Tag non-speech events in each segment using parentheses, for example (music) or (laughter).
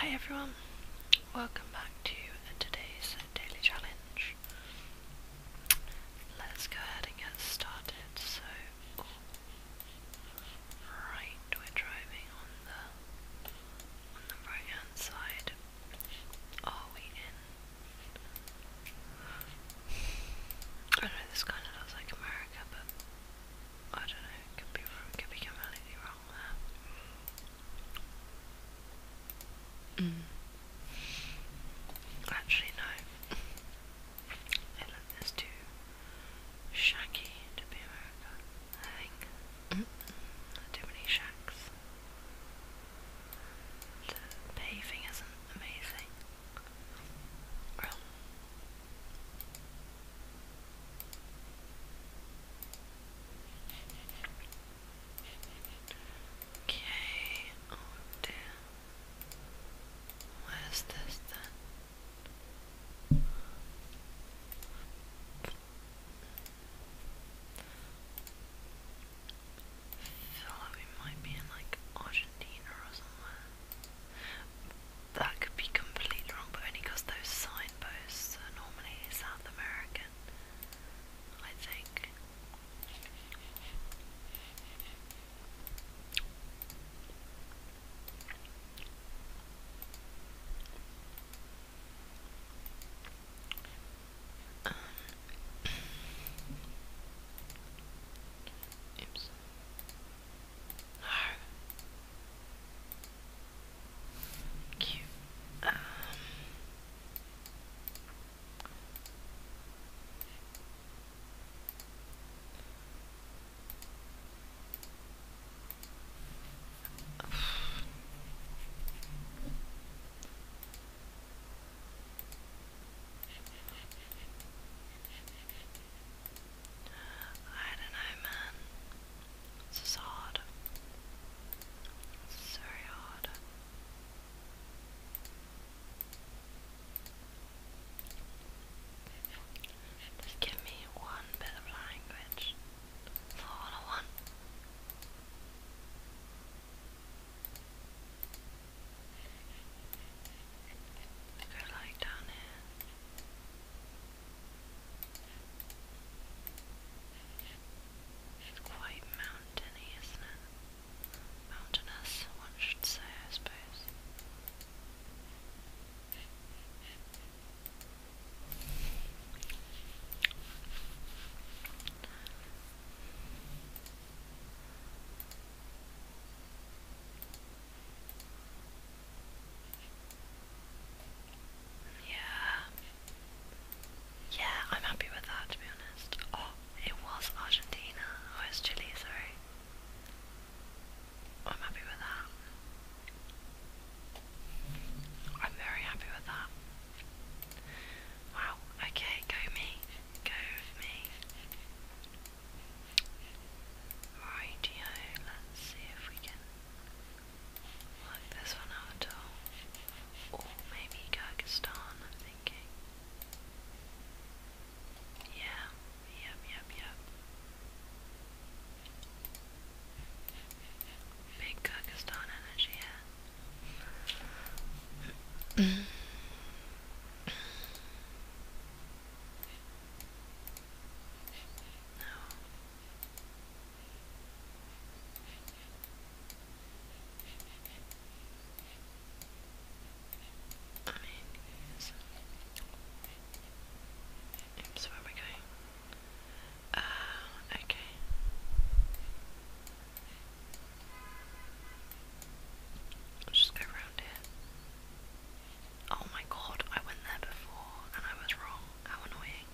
Hi everyone, welcome back to today's daily challenge. Let's go ahead and get started. So, right, we're driving on the on the right hand side. Are we in? I know this kind of looks like America, but I don't know. could be could be completely wrong. Mm. Actually, no. England (laughs) is too shacky to America, I think. Mm Too many shacks. The paving isn't amazing. Well, Okay, oh dear. Where's this then? I feel might be in like Argentina or somewhere. That could be completely wrong, but only because those signposts are normally South American, I think. Um, (clears throat) oops. No. Cute. Um. I don't know, man. This is hard. This is very hard. Just give me one bit language. That's all Go lie quite mountainy, isn't it? Mountainous, one should say, I suppose. Yeah. Yeah, I'm happy with that be honest. Oh, it was Argentina. Oh, it's Chile, sorry. I'm happy with that. I'm very happy with that. Wow, okay, go me. Go with me. Rightio, let's see if we can work this one out at maybe Kyrgyzstan, I'm thinking. Yeah, yep, yep, yep. Big Kyrgyzstan energy here. (clears throat) No. I mean, yes. Oops, where are we going? Uh, okay. Let's just go around here. Oh my god, I went there before and I was wrong. How annoying.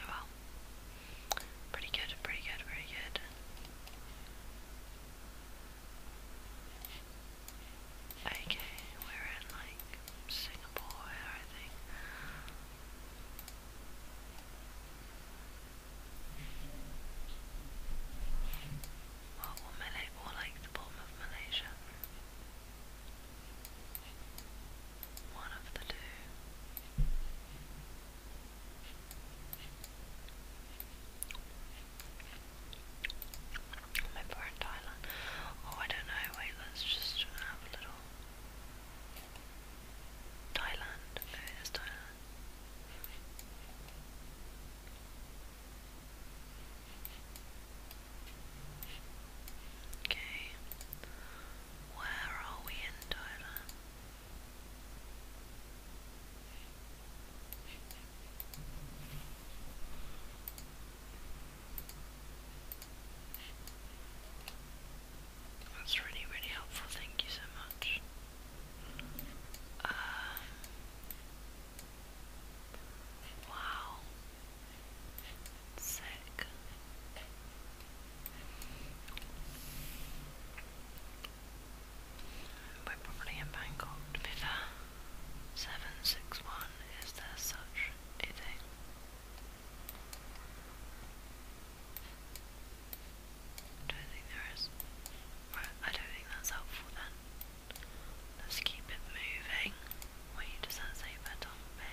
Oh well. Pretty good, pretty good, pretty good. Okay, we're in like Singapore I think. Or, or, Malay, or like the bottom of Malaysia. One of the two. Maybe we Thailand. Oh, I don't know. Wait, let's just have a little. Thailand. Okay, Thailand. Okay. Where are we in Thailand? That's really, really helpful. Thank you so much. Um, wow. Sick. We're probably in Bangkok 761, is there such a thing? I don't think there is. I don't think that's helpful then. Let's keep it moving. Wait, does that say bet on me?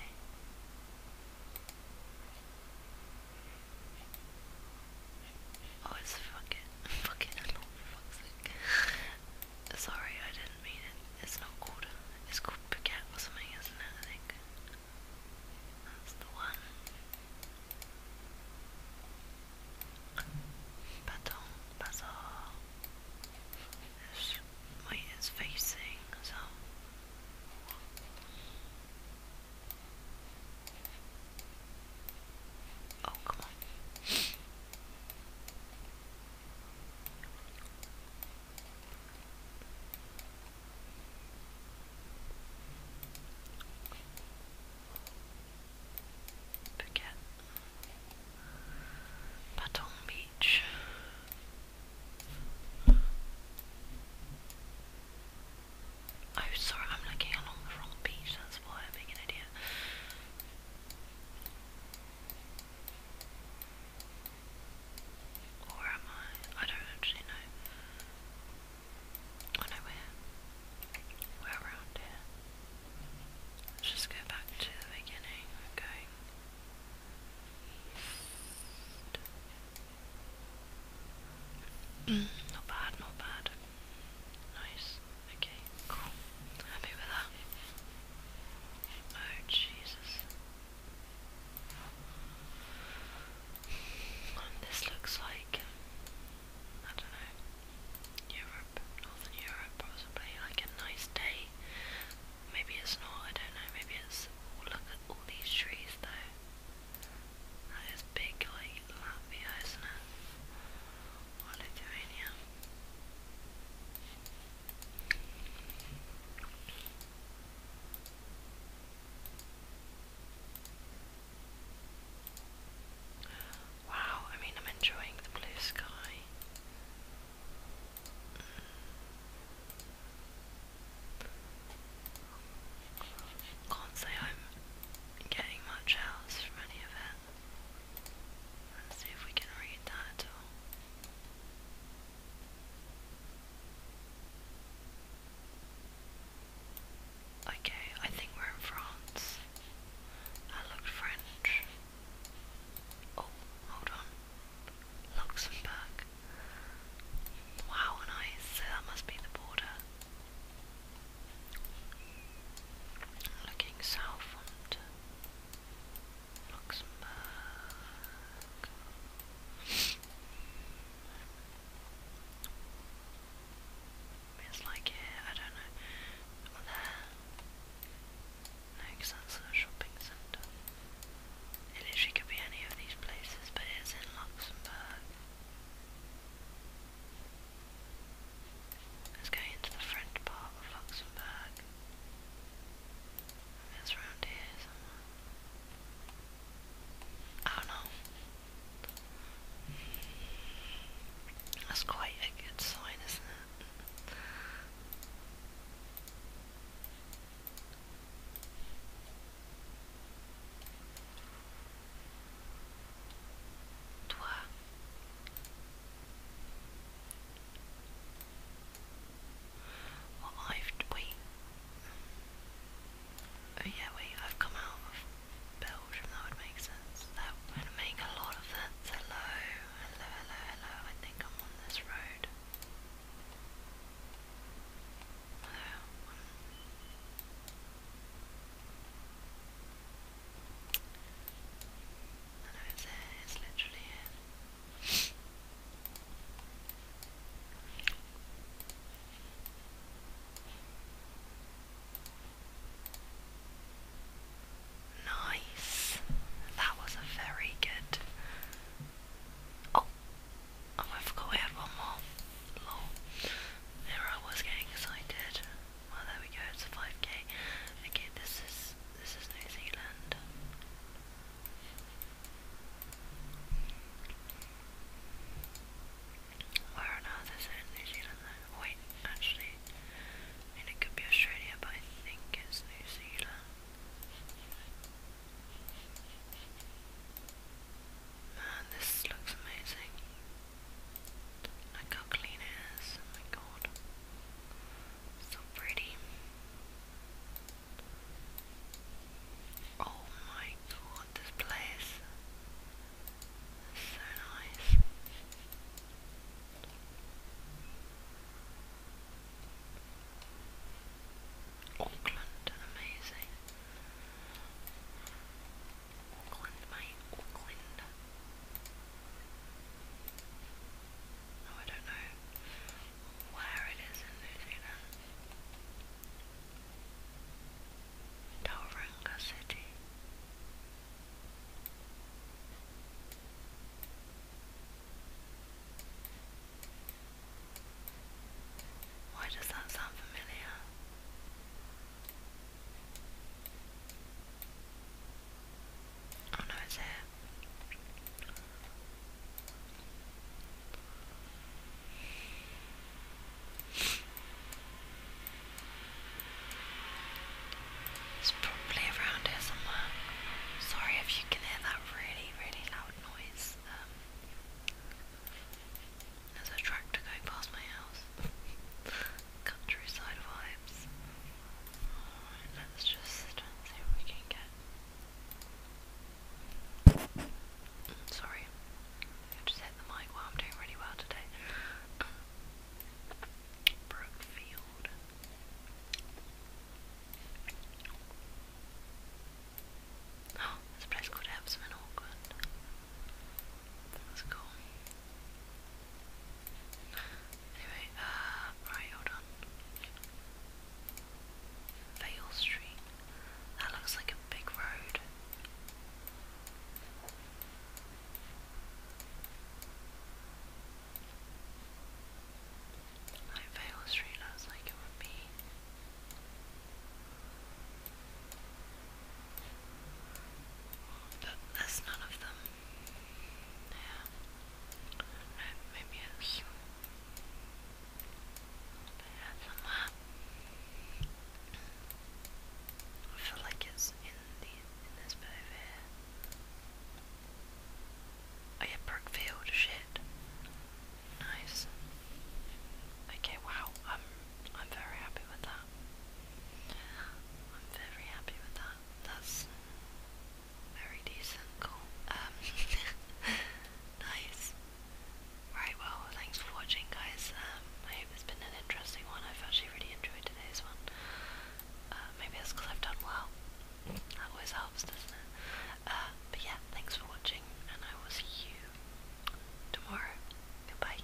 Oh, it's fuck it. (laughs) Fuck it, (laughs) fuck's sake. (laughs) Sorry, I didn't mean it. It's not called, it's called baguette or something, isn't it, I think? That's the one. Baton, bazaar. This way is facing, so. Oh, come on. Forget Baton Beach. Oh, sorry, I'm looking along the wrong beach, that's why I'm being an idiot. Or am I? I don't actually know. Oh no, we're, around here. Let's just go back to the beginning. We're going (clears throat) not bad, not bad. Nice. Okay, cool. Happy with that. Oh Jesus this looks like, I don't know, Europe, Northern Europe possibly, like a nice day. Maybe it's not, I don't know, maybe it's, oh, all these trees though. That is big like Latvia, isn't it? Or Wow, I mean, I'm enjoying the blue sky. Can't say I'm getting much else from any of it. Let's see if we can read that Okay, I think we're in France. That looked French. Oh, hold on. Luxembourg. Wow, nice. So that must be the border. Looking south it's like I don't know. there. No, because a shopping centre. It literally could be any of these places, but it's in Luxembourg. Let's into the French part of Luxembourg. It's around here somewhere. I don't know. That's quite a good sign, isn't it? Toi. Well, Oh, yeah, wait, I've come out of Belgium, that would make sense. That would make a lot of sense. Hello, hello, hello, hello. I think I'm on this road. Hello. Um, I there, it's literally here. Nice. That was a very good. Oh, oh I forgot we had one more. Lol. I was getting excited. Well, there we go. It's 5k. Okay, this is this is New Zealand. Where on earth is New Zealand Wait, actually, it could be Australia, but I think it's New Zealand. Man, this looks amazing. Look how clean it is, oh my god. So pretty. Oh my god, this place so nice. Auckland, amazing. Auckland, mate, Auckland. Oh, I don't know where it is in New Zealand. Tauranga City. Why does that sound familiar? Oh, it's probably around here somewhere. Sorry if you can hear that really, really loud noise. Um, there's a tractor going past my house. (laughs) countryside vibes. let's just see what we can get. Mm, sorry, just hit the mic while I'm doing really well today. Brookfield. Oh, there's a place called Epsom in Auckland. That Anyway, uh, right, hold on. Vale Street. That looks like a big road. Like Vale Street looks like it would be. But there's none of them. Yeah. No, maybe it's there somewhere. I feel like it's in the in this bit over here. Oh yeah, Brookfield, shit. Nice. Okay, wow, I'm I'm very happy with that. I'm very happy with that. That's very decent. Cool. Um, (laughs) nice. Right, well, thanks for watching, guys. Um, I hope it's been an interesting one. I've actually really enjoyed today's one. Uh, maybe that's because I've done well. That always helps, doesn't it? Uh, but yeah, thanks for watching, and I will see you tomorrow. Goodbye.